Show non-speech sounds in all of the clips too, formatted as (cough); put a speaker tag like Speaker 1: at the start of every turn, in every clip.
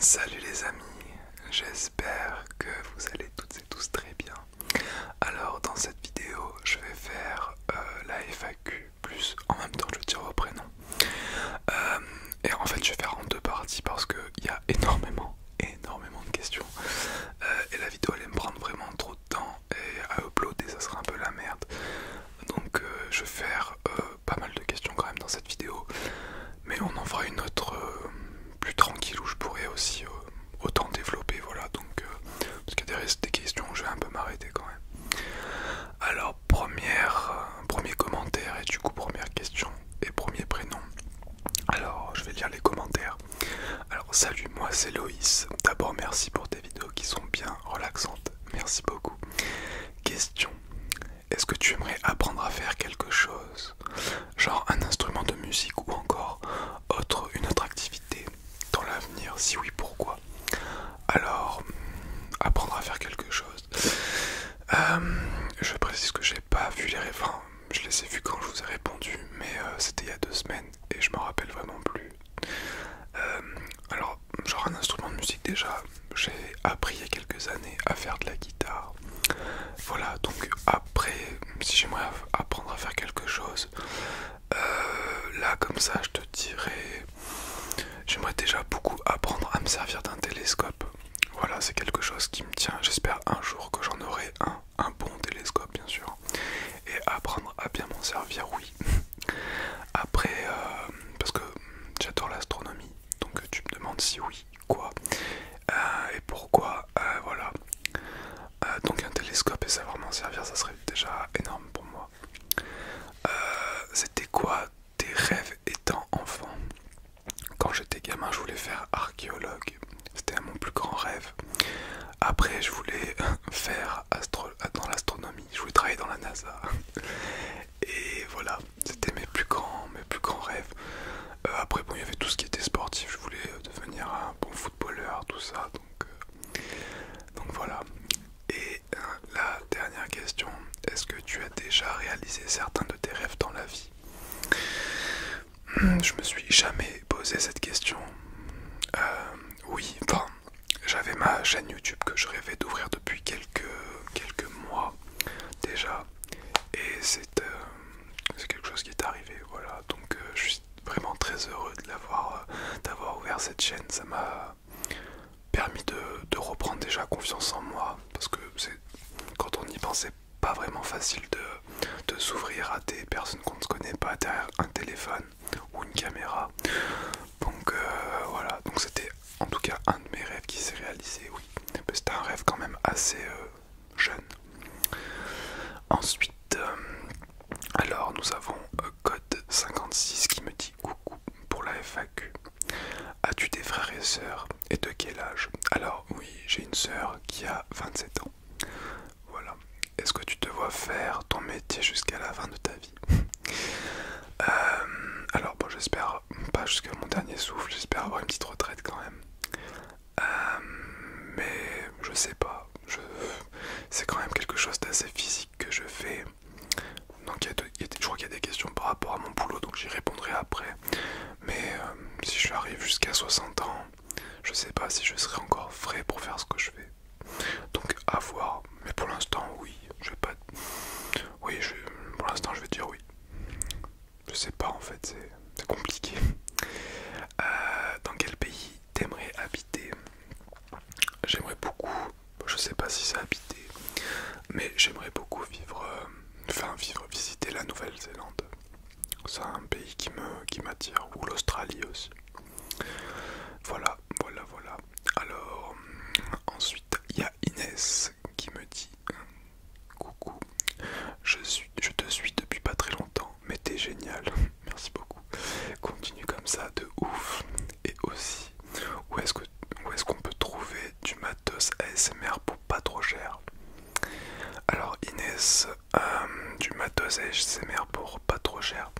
Speaker 1: Salut les amis, j'espère que vous allez toutes et tous très bien. Alors dans cette vidéo, je vais faire euh, la FAQ plus en même temps je tire vos prénoms. Euh, et en fait, je vais faire en deux parties parce que il y a énormément, énormément de questions euh, et la vidéo allait me prendre vraiment trop de temps et à uploader, ça sera un peu la merde. Donc je vais faire pas mal de questions quand même dans cette vidéo. Mais on en fera une autre euh, plus tranquille où je pourrais aussi euh, autant développer. Voilà, donc euh, parce qu'il y a des, questions je vais un peu m'arrêter quand même. Alors, première, premier commentaire et du coup, première question et premier prénom. Alors, je vais lire les commentaires. Alors, salut, moi c'est Loïs. D'abord, merci pour tes vidéos qui sont bien relaxantes. Merci beaucoup. Question est-ce que tu aimerais apprendre à faire quelque chose Genre un instrument de musique ou encore autre, une autre activité dans l'avenir Si oui, pourquoi Alors, apprendre à faire quelque chose. Euh, je précise que j'ai pas vu les référents. je les ai vus quand je vous ai répondu, mais euh, c'était il y a deux semaines et je me rappelle vraiment plus. Euh, alors, genre un instrument de musique déjà. J'ai appris il y a quelques années à faire de la guitare. Voilà, donc après, si j'aimerais apprendre à faire quelque chose, euh, là comme ça, je te dirais, j'aimerais déjà beaucoup apprendre à me servir d'un télescope. Voilà, c'est quelque chose qui me tient. J'espère un jour que j'en aurai un, un bon télescope bien sûr. Et apprendre à bien m'en servir, oui. (laughs) Après, euh, parce que j'adore l'astronomie, donc tu me demandes si oui quoi euh, et pourquoi euh, voilà euh, donc un télescope et savoir m'en servir ça serait déjà énorme pour moi c'était quoi tes rêves étant enfant quand j'étais gamin je voulais faire archéologue c'était mon plus grand rêve après je voulais (laughs) faire dans l'astronomie je voulais travailler dans la NASA et voilà, c'était mes plus grands, mes plus grands rêves. Euh, après, bon, il y avait tout ce qui était sportif. Je voulais euh, devenir un bon footballeur, tout ça. Donc, euh, voilà. Et la dernière question est-ce que tu as déjà réalisé certains de tes rêves dans la vie hmm, Je me suis jamais posé cette question. oui, enfin, j'avais ma chaîne YouTube que je rêvais d'ouvrir depuis quelques quelques mois déjà et euh, c'est quelque chose qui est arrivé. Voilà. Donc euh, je suis vraiment très heureux euh, d'avoir ouvert cette chaîne. Ça m'a permis de, reprendre déjà confiance en moi. Parce que c'est quand on y pensait pas vraiment facile de, s'ouvrir à des personnes qu'on ne connaît pas derrière un téléphone ou une caméra. Donc voilà, donc c'était en tout cas un de mes rêves qui s'est réalisé, oui. C'était un rêve quand même assez euh, jeune. Ensuite, euh, alors nous avons euh, Code 56 qui me dit coucou pour la FAQ. As-tu des frères et sœurs et de quel âge Alors oui, j'ai une sœur qui a 27 ans. Voilà. Est-ce que tu te vois faire ton métier jusqu'à la fin de ta vie (laughs) Alors bon, j'espère pas jusqu'à mon dernier souffle, j'espère avoir une petite retraite quand même. Euh, mais je sais pas, c'est quand même quelque chose d'assez physique que je fais. Donc il y a je crois qu'il y a des questions par rapport à mon boulot, donc j'y répondrai après. Mais euh, si je jusqu'à 60 ans, je sais pas si je serai encore frais pour faire ce que je fais. Donc à voir, mais pour l'instant oui, je vais pas... Oui, pour l'instant je vais dire oui. Je sais pas en fait, c'est compliqué. Euh, dans quel pays t'aimerais habiter J'aimerais beaucoup, je sais pas si c'est habiter, mais j'aimerais beaucoup vivre, euh, enfin vivre, visiter la Nouvelle-Zélande. C'est un pays qui me qui m'attire, ou l'Australie aussi. Voilà, voilà, voilà. Alors, ensuite, il y a Inès qui me dit euh, coucou, je, suis, je te suis depuis pas très longtemps, mais t'es génial, (laughs) merci beaucoup. Continue comme ça de ouf. Et aussi, où est-ce qu'on est peut trouver du matos ASMR pour pas trop cher Alors Inès, euh, du matos ASMR pour pas trop cher.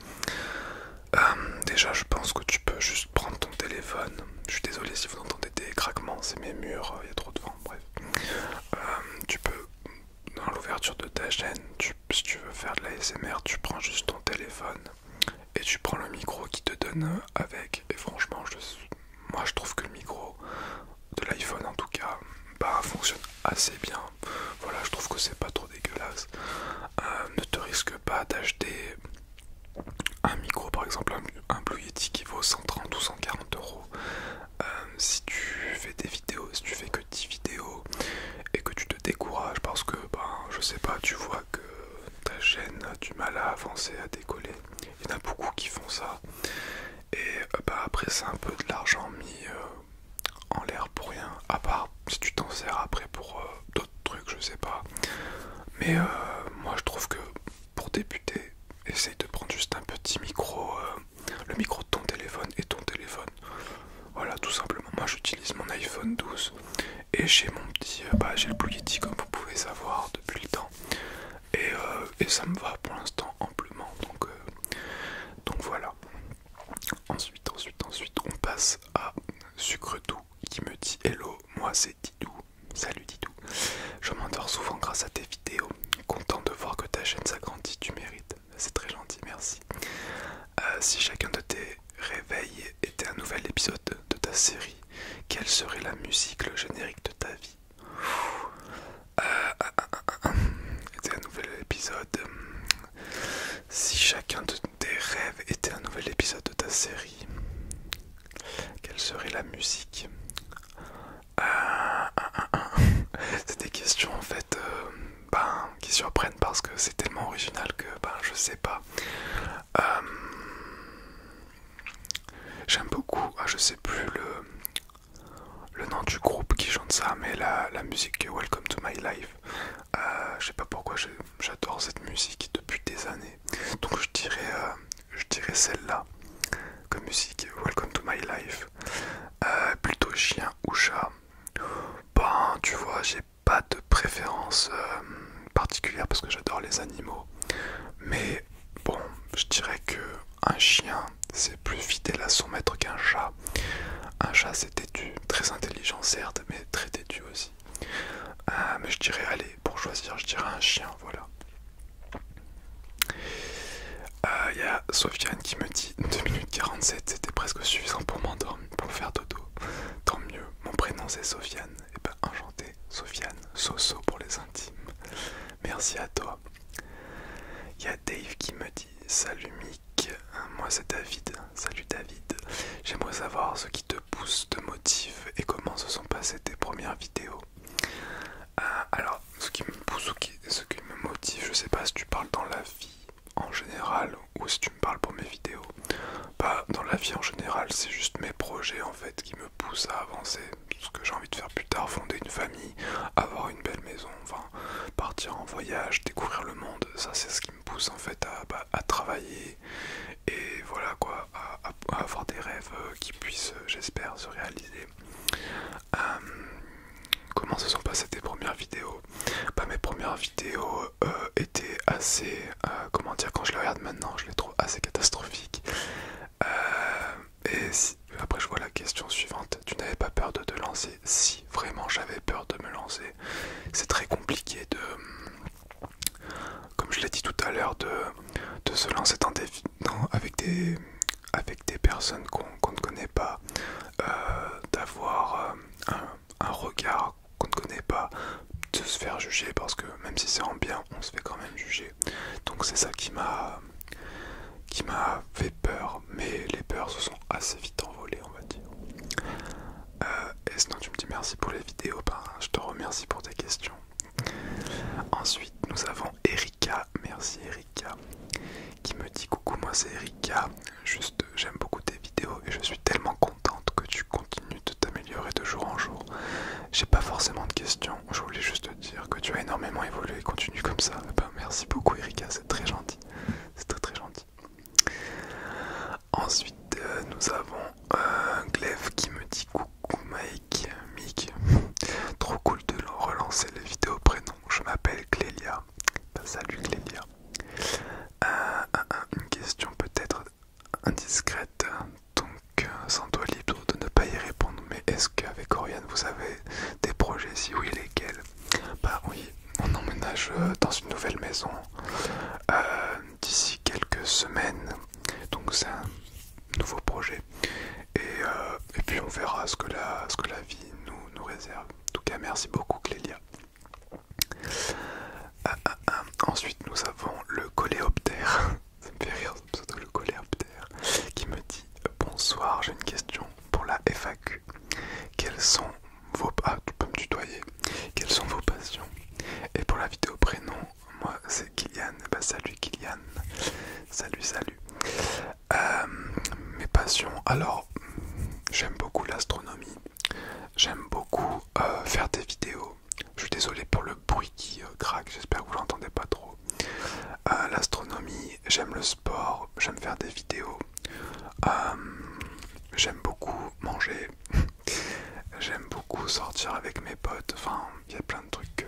Speaker 1: Euh, déjà je pense que tu peux juste prendre ton téléphone je suis désolé si vous entendez des craquements, c'est mes murs, euh, il y a trop de vent, bref. Euh, tu peux, dans l'ouverture de ta chaîne, si tu veux faire de l'ASMR, tu prends juste ton téléphone et tu prends le micro qui te donne euh, avec. Et franchement, moi je trouve que le micro de l'iPhone en tout cas, bah fonctionne assez bien. Voilà, je trouve que c'est pas trop dégueulasse. ne te risque pas d'acheter un micro par exemple, un, Blue Yeti qui vaut 130 ou 140 euros. Euh, si tu fais des vidéos, si tu fais que 10 vidéos et que tu te décourages parce que, ben, je sais pas, tu vois que ta chaîne a du mal à avancer, à décoller, il y en a beaucoup qui font ça. Et euh, ben, après, c'est un peu de l'argent mis euh, en l'air pour rien, à part si tu t'en sers après pour d'autres trucs, je sais pas. Mais moi, je trouve que pour débuter, essaye de prendre juste un petit micro, euh, le micro de ton téléphone et ton téléphone. Voilà, tout simplement. Moi, j'utilise mon iPhone 12 et j'ai mon petit, euh, bah, j'ai le Blue Yeti comme vous pouvez savoir depuis le temps. Et, euh, ça me va pour l'instant amplement. Donc, donc voilà. Ensuite, ensuite, ensuite, on passe à Sucre Doux qui me dit Hello, moi c'est Didou. Salut Didou. Je m'endors souvent grâce à tes vidéos. Content de voir que ta chaîne s'agrandit, tu mérites. C'est très gentil, merci. Euh, si chacun de tes réveils était un nouvel épisode de ta série, quelle serait la musique, le générique de ta vie euh, ah, ah, ah, nouvel épisode. Si chacun de tes rêves était un nouvel épisode de ta série, quelle serait la musique euh, (laughs) C'est des questions en fait euh, ben, qui surprennent parce que c'est tellement original que ben, je sais pas. Euh, j'aime beaucoup, ah, je sais plus le, le nom du groupe qui chante ça, mais la, la musique Welcome to My Life. je sais pas pourquoi j'adore cette musique depuis des années. Donc je dirais je dirais celle-là comme musique Welcome to my life euh, plutôt chien ou chat ben tu vois j'ai pas de préférence euh, particulière parce que j'adore les animaux mais bon je dirais que un chien c'est plus fidèle à son maître qu'un chat un chat c'est têtu très intelligent certes mais très têtu aussi euh, mais je dirais allez pour choisir je dirais un chien voilà il euh, y a Sofiane qui me dit 2 minutes 47, c'était presque suffisant pour m'endormir, pour faire dodo. Tant mieux, mon prénom c'est Sofiane. Et eh ben enchanté, Sofiane, Soso pour les intimes. Merci à toi. Il y a Dave qui me dit Salut Mick, hein, moi c'est David. Salut David, j'aimerais savoir ce qui te pousse, te motive et comment se sont passées tes premières vidéos. Euh, alors, ce qui, me pousse, ce, qui, ce qui me motive, je sais pas si tu parles dans la vie en général ou si tu me parles pour mes vidéos. Bah, dans la vie en général, c'est juste mes projets en fait qui me poussent à avancer. Ce que j'ai envie de faire plus tard, fonder une famille, avoir une belle maison, enfin partir en voyage, découvrir le monde, ça c'est ce qui me pousse en fait à, bah, à travailler et voilà quoi, avoir des rêves euh, qui puissent, euh, j'espère, se réaliser. Euh, comment se sont passées tes premières vidéos pas bah, Mes premières vidéos étaient assez... comment dire Quand je les regarde maintenant, je les trouve assez catastrophiques. et après, je vois la question suivante. Tu n'avais pas peur de te lancer Si, vraiment, j'avais peur de me lancer. C'est très compliqué de comme je l'ai dit tout à l'heure, de, se lancer avec, des, avec des personnes qu'on ne connaît pas, euh, d'avoir euh, un, regard qu'on ne connaît pas, de se faire juger parce que même si c'est en bien, on se fait quand même juger. Donc c'est ça qui m'a qui m'a fait peur, mais les peurs se sont assez vite envolées, on va dire. Euh, et sinon, tu me dis merci pour les vidéos, ben, je te remercie pour tes questions. Ensuite, nous avons Erika, merci Erika, qui me dit coucou, moi c'est Erika, juste j'aime beaucoup tes vidéos et je suis tellement contente que tu continues de t'améliorer de jour en jour. J'ai pas forcément de questions, je voulais juste te dire que tu as énormément évolué et continue comme ça. Eh ben, merci beaucoup Erika, c'est très gentil, c'est très très gentil. Ensuite, euh, nous avons euh, Glef qui me dit coucou ou Mike, Mick. Trop cool de relancer les vidéos prénom. Je m'appelle Clélia. Bah, salut Clélia. Euh, euh, euh, une question peut-être indiscrète, donc sans toi libre de ne pas y répondre. Mais est-ce qu'avec Oriane vous avez des projets Si oui, lesquels Bah oui, on emménage dans une nouvelle maison d'ici quelques semaines. Donc c'est un nouveau projet. Euh, et, puis on verra ce que la, vie nous, réserve. En tout cas, merci beaucoup Clélia. Ah, ah, ah. ensuite, nous avons le coléoptère. (laughs) Ça me fait le coléoptère. Qui me dit Bonsoir, j'ai une question pour la FAQ. Quels tu Quelles sont vos passions Et pour la vidéo prénom, moi c'est Kylian, bah salut Kylian, salut salut. Euh, mes passions, alors j'aime beaucoup l'astronomie, j'aime beaucoup euh, faire des vidéos. Je suis désolé pour le bruit qui euh, craque, j'espère que vous l'entendez pas trop. L'astronomie, j'aime le sport, j'aime faire des vidéos, j'aime beaucoup manger, (laughs) j'aime beaucoup sortir avec mes potes, enfin il y a plein de trucs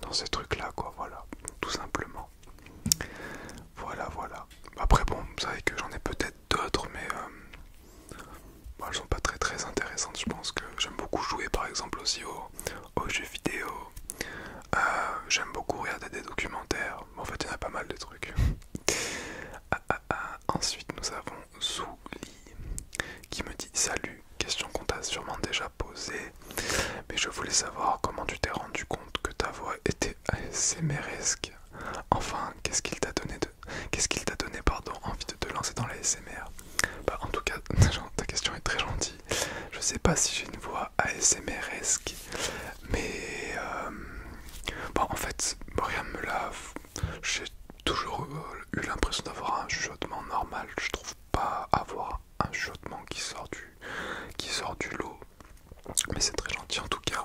Speaker 1: dans ces trucs là quoi voilà tout simplement voilà voilà après bon vous savez que j'en ai peut-être d'autres mais euh, elles sont pas très très intéressantes je pense que j'aime beaucoup jouer par exemple aussi aux, jeux vidéo euh, j'aime beaucoup regarder des documentaires en fait il y en a pas mal de trucs (laughs) ah, ah, ah. ensuite nous avons Souli qui me dit salut question qu'on t'a sûrement déjà posée, mais je voulais savoir comment tu t'es rendu compte que ta voix était ASMResque. Enfin, qu'est-ce qu'il t'a donné, de... qu'est-ce qu'il t'a donné pardon, envie de te lancer dans la bah, En tout cas, (laughs) ta question est très gentille. Je sais pas si j'ai une voix ASMResque, mais euh, en fait, rien me lave. J'ai toujours euh, eu l'impression d'avoir un chuchotement normal. Je trouve pas avoir un chaudement qui sort du, lot. Mais c'est très gentil en tout cas.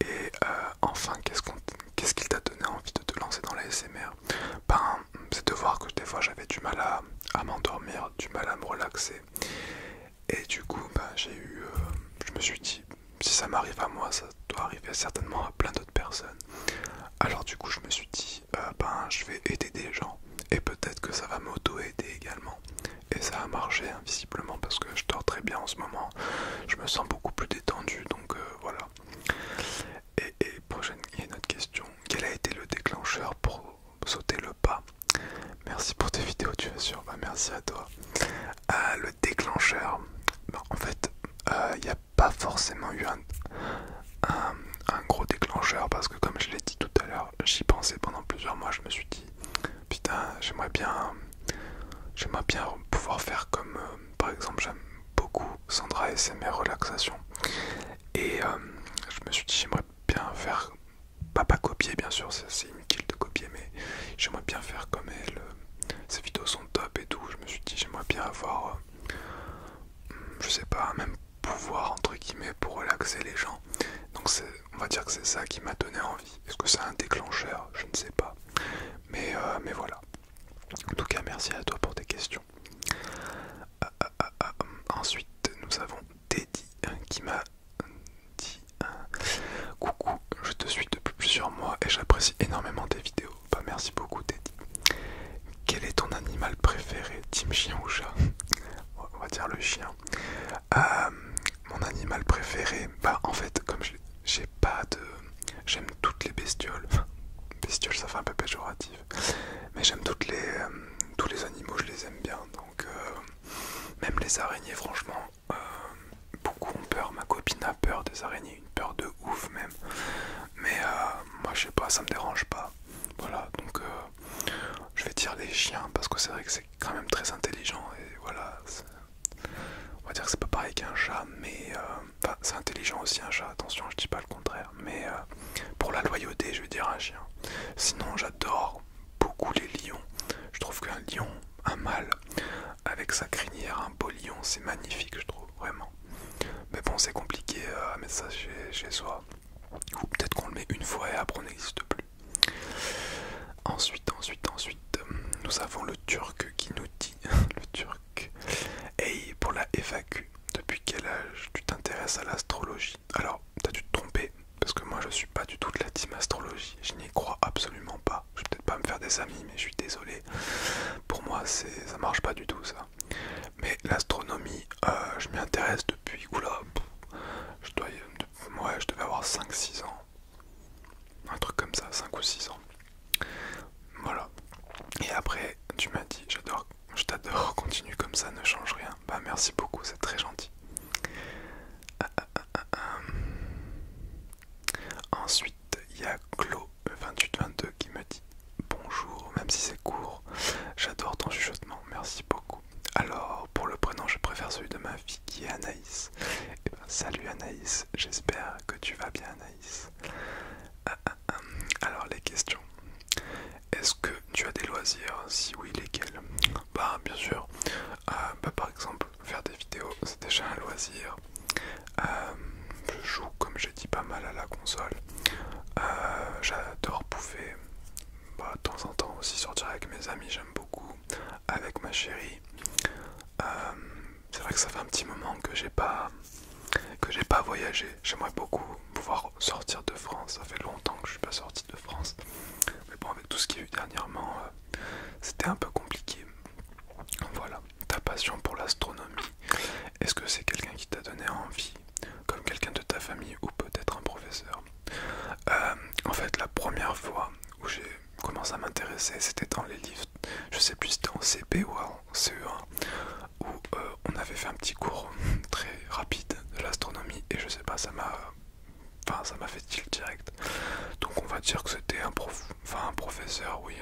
Speaker 1: Et euh, enfin, qu'est-ce qu'il t'a donné envie de te lancer dans la SMR Ben, c'est de voir que des fois j'avais du mal à, m'endormir, du mal à me relaxer. Et du coup, ben, j'ai eu. Euh, je me suis dit, si ça m'arrive à moi, ça doit arriver certainement à plein d'autres personnes. Alors, du coup, je me suis dit, euh, ben je vais aider des gens et peut-être que ça va m'auto-aider également et ça a marché invisiblement hein, parce que je dors très bien en ce moment je me sens beaucoup plus détendu donc euh, voilà et, prochaine il y a question quel a été le déclencheur pour sauter le pas merci pour tes vidéos tu vas sûr ben, merci à toi euh, le déclencheur ben, en fait il n'y a pas forcément eu un euh, un, gros déclencheur parce que comme je l'ai dit tout à l'heure, j'y pensais pendant plusieurs mois, je me suis dit putain j'aimerais bien j'aimerais bien pouvoir faire comme euh, par exemple j'aime beaucoup Sandra et ses mes relaxations et euh, je me suis dit j'aimerais bien faire pas pas copier bien sûr c'est inutile de copier mais j'aimerais bien faire comme elle ses vidéos sont top et tout je me suis dit j'aimerais bien avoir je sais pas même pouvoir entre guillemets pour relaxer les gens. Donc c'est on va dire que c'est ça qui m'a donné envie. Est-ce que c'est un déclencheur Je ne sais pas. Mais, euh, mais voilà. En tout cas, merci à toi pour tes questions. Ah, ah, ah, hum. ensuite, nous avons Teddy hein, qui m'a dit Coucou, je te suis depuis plusieurs mois et j'apprécie énormément tes vidéos. Bah, merci beaucoup Teddy. Quel est ton animal préféré Team chien ou chat (laughs) On va dire le chien. Euh, mon animal préféré, bah en fait, comme j'ai pas de. J'aime toutes les bestioles. (laughs) bestioles, ça fait un peu péjoratif. Mais j'aime euh, tous les animaux, je les aime bien. Donc, euh, même les araignées, franchement, beaucoup ont peur. Ma copine a peur des araignées, une peur de ouf même. Mais moi, je sais pas, ça me dérange pas. Voilà, donc euh, je vais dire les chiens parce que c'est vrai que c'est quand même très intelligent et voilà. On va dire que c'est pas pareil qu'un chat, mais euh, c'est intelligent aussi un chat. Attention, je dis pas le contraire, mais euh, pour la loyauté, je vais dire un chien. Sinon, j'adore beaucoup les lions. Je trouve qu'un lion, un mâle, avec sa crinière, un beau lion, c'est magnifique, je trouve vraiment. Mais bon, c'est compliqué à mettre ça chez soi. Ou peut-être qu'on le met une fois et après on n'existe plus. Ensuite, ensuite, ensuite, euh, nous avons le turc qui nous dit, (laughs) le turc, hey, pour la FAQ, depuis quel âge tu t'intéresses à l'astrologie Alors, t'as dû te tromper, parce que moi je suis pas du tout de la team astrologie, je n'y crois absolument pas. Je vais peut-être pas me faire des amis, mais je suis désolé. Pour moi, ça marche pas du tout ça. Mais l'astronomie, euh, je m'y intéresse depuis, je, dois, ouais, je devais avoir 5-6 ans. Un truc comme ça, 5 ou 6 ans. Voilà. Et après, tu m'as dit, j'adore, je t'adore, (laughs) continue comme ça, ne change rien. Bah merci beaucoup, c'est très gentil. Ah, ah, ah, Ensuite, il y a clo 22 qui me dit bonjour, même si c'est court. J'adore ton chuchotement, merci beaucoup. Alors, pour le prénom, je préfère celui de ma fille qui est Anaïs. Eh ben, salut Anaïs, j'espère que tu vas bien Anaïs. Ah, ah, ah. Alors, les questions. Est-ce que tu as des loisirs Si oui, lesquels Bah, bien sûr. Euh, bah, par exemple, faire des vidéos, c'est déjà un loisir. Euh, je joue, comme j'ai dit, pas mal à la console. Euh, j'adore bouffer, bah, de temps en temps aussi sortir avec mes amis, j'aime beaucoup, avec ma chérie. Euh, c'est vrai que ça fait un petit moment que j'ai pas que j'ai pas voyagé. J'aimerais beaucoup pouvoir sortir de France. Ça fait longtemps que je suis pas sorti de France. Mais bon, avec tout ce qu'il y a eu dernièrement, euh, c'était un peu compliqué. Voilà, ta passion pour l'astronomie. Est-ce que c'est quelqu'un qui t'a donné envie comme quelqu'un de ta famille ou peut-être un professeur. Euh, en fait, la première fois où j'ai commencé à m'intéresser, c'était dans les livres, je sais plus si c'était en CP ou en CE1, où euh, on avait fait un petit cours (laughs) très rapide de l'astronomie et je sais pas, ça m'a enfin, ça m'a fait tilt direct. Donc on va dire que c'était un, un professeur, oui,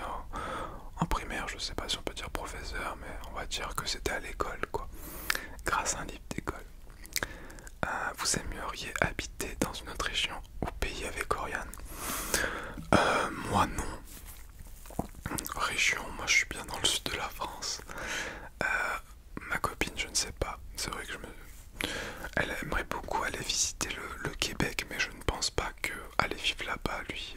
Speaker 1: en primaire, je sais pas si on peut dire professeur, mais on va dire que c'était à l'école quoi grâce à un livre d'école. Euh, vous aimeriez habiter dans une autre région ou pays avec Oriane euh, Moi non. Région, moi je suis bien dans le sud de la France. Euh, ma copine, je ne sais pas. C'est vrai que je me... Elle aimerait beaucoup aller visiter le, Québec, mais je ne pense pas que aller vivre là-bas lui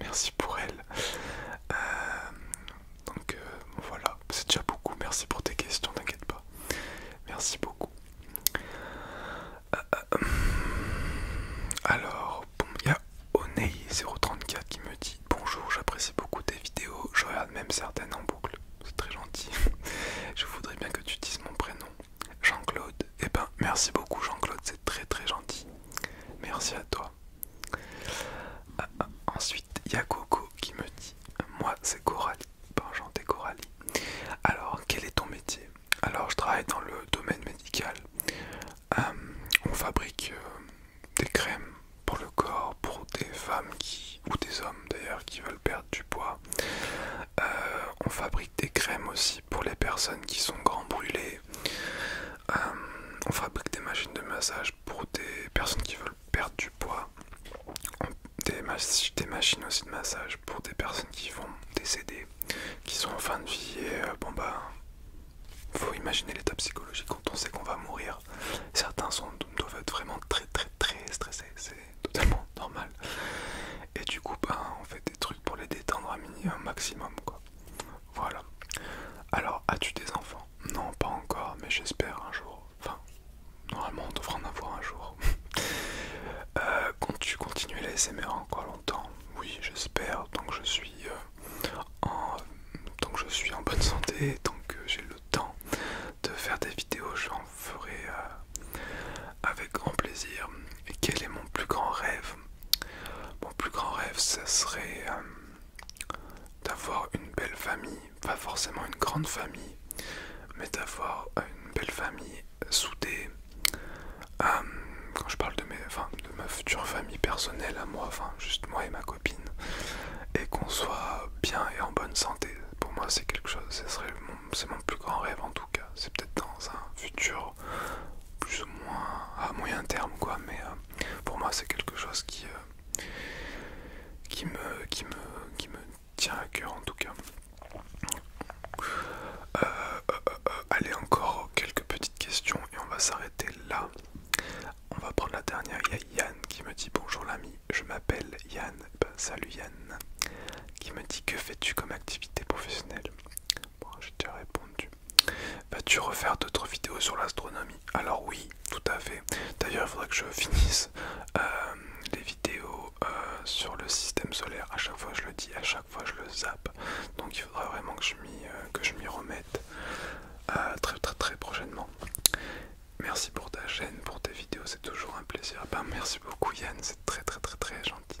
Speaker 1: merci pour elle. Euh, donc euh, voilà, c'est déjà beaucoup. Merci pour tes questions, t'inquiète pas. Merci beaucoup. Euh, alors, il y a oney 034 qui me dit Bonjour, j'apprécie beaucoup tes vidéos, je regarde même certaines en boucle. C'est très gentil. (laughs) je voudrais bien que tu dises mon prénom. Jean-Claude. Eh ben, merci beaucoup Jean-Claude, c'est très très gentil. Merci à toi. Ah, ah, ensuite, il y a Coco qui me dit Moi, c'est Coralie, Coralie. Alors, quel est ton métier Alors, je travaille dans le domaine médical. Euh, on fabrique euh, des crèmes pour le corps, pour des femmes qui, ou des hommes d'ailleurs qui veulent perdre du poids. Euh, on fabrique des crèmes aussi pour les personnes qui sont grand brûlées, euh, on fabrique des machines de massage pour des personnes qui veulent perdre du poids. Des, des machines aussi de massage pour des personnes qui vont décéder, qui sont en fin de vie et euh, bon bah faut imaginer l'état psychologique quand on sait qu'on va mourir. Certains sont, doivent être vraiment très très très stressés, c'est totalement (laughs) normal. Et du coup, ben, on fait des trucs pour les détendre à un minimum maximum. Quoi. Voilà. Alors, as-tu des enfants Non, pas encore, mais j'espère un jour. Enfin, normalement, on devra en avoir un jour. (laughs) euh, Comptes-tu continuer la SMR encore longtemps Oui, j'espère, tant que je suis euh, en je suis en bonne santé, tant que euh, j'ai le temps de faire des vidéos, j'en ferai euh, avec grand plaisir. Et quel est mon plus grand rêve mon plus grand rêve, ça serait euh, d'avoir une belle famille, pas forcément une grande famille, mais d'avoir une belle famille soudée. Euh, quand je parle de, ma future famille personnelle à moi, juste moi et ma copine, et qu'on soit bien et en bonne santé, pour moi c'est quelque chose, c'est mon plus grand rêve en tout cas, c'est peut-être dans un futur plus ou moins à moyen terme quoi mais euh, pour moi c'est quelque chose qui euh, qui me qui me qui me tient à cœur en tout cas euh, allez encore quelques petites questions et on va s'arrêter là on va prendre la dernière il y a Yann qui me dit bonjour l'ami je m'appelle Yann ben, salut Yann qui me dit que fais-tu comme activité professionnelle Bon, j'ai déjà répondu. Vas-tu refaire d'autres vidéos sur l'astronomie Alors oui, tout à fait. D'ailleurs, il faudrait que je finisse euh, les vidéos euh, sur le système solaire. À chaque fois, je le dis, à chaque fois, je le zappe. Donc, il faudra vraiment que je m'y euh, remette très très très prochainement. Merci pour ta chaîne, pour tes vidéos, c'est toujours un plaisir. Ah ben, merci beaucoup Yann, c'est très très très très gentil.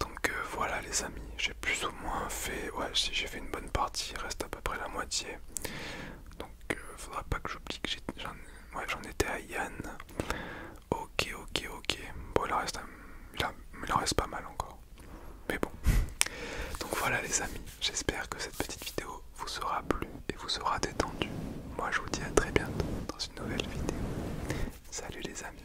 Speaker 1: Donc voilà les amis, j'ai plus ou moins fait, ouais, si j'ai fait une bonne partie, il reste à peu près la moitié. Donc, euh, faudra pas que j'oublie que j'en étais à Yann. Ok, ok, ok. Bon, il en reste, il en reste pas mal encore. Mais bon. (laughs) Donc voilà les amis, j'espère que cette petite vidéo vous sera plu et vous sera détendu. Moi je vous dis à très bientôt dans une nouvelle vidéo. Salut les amis.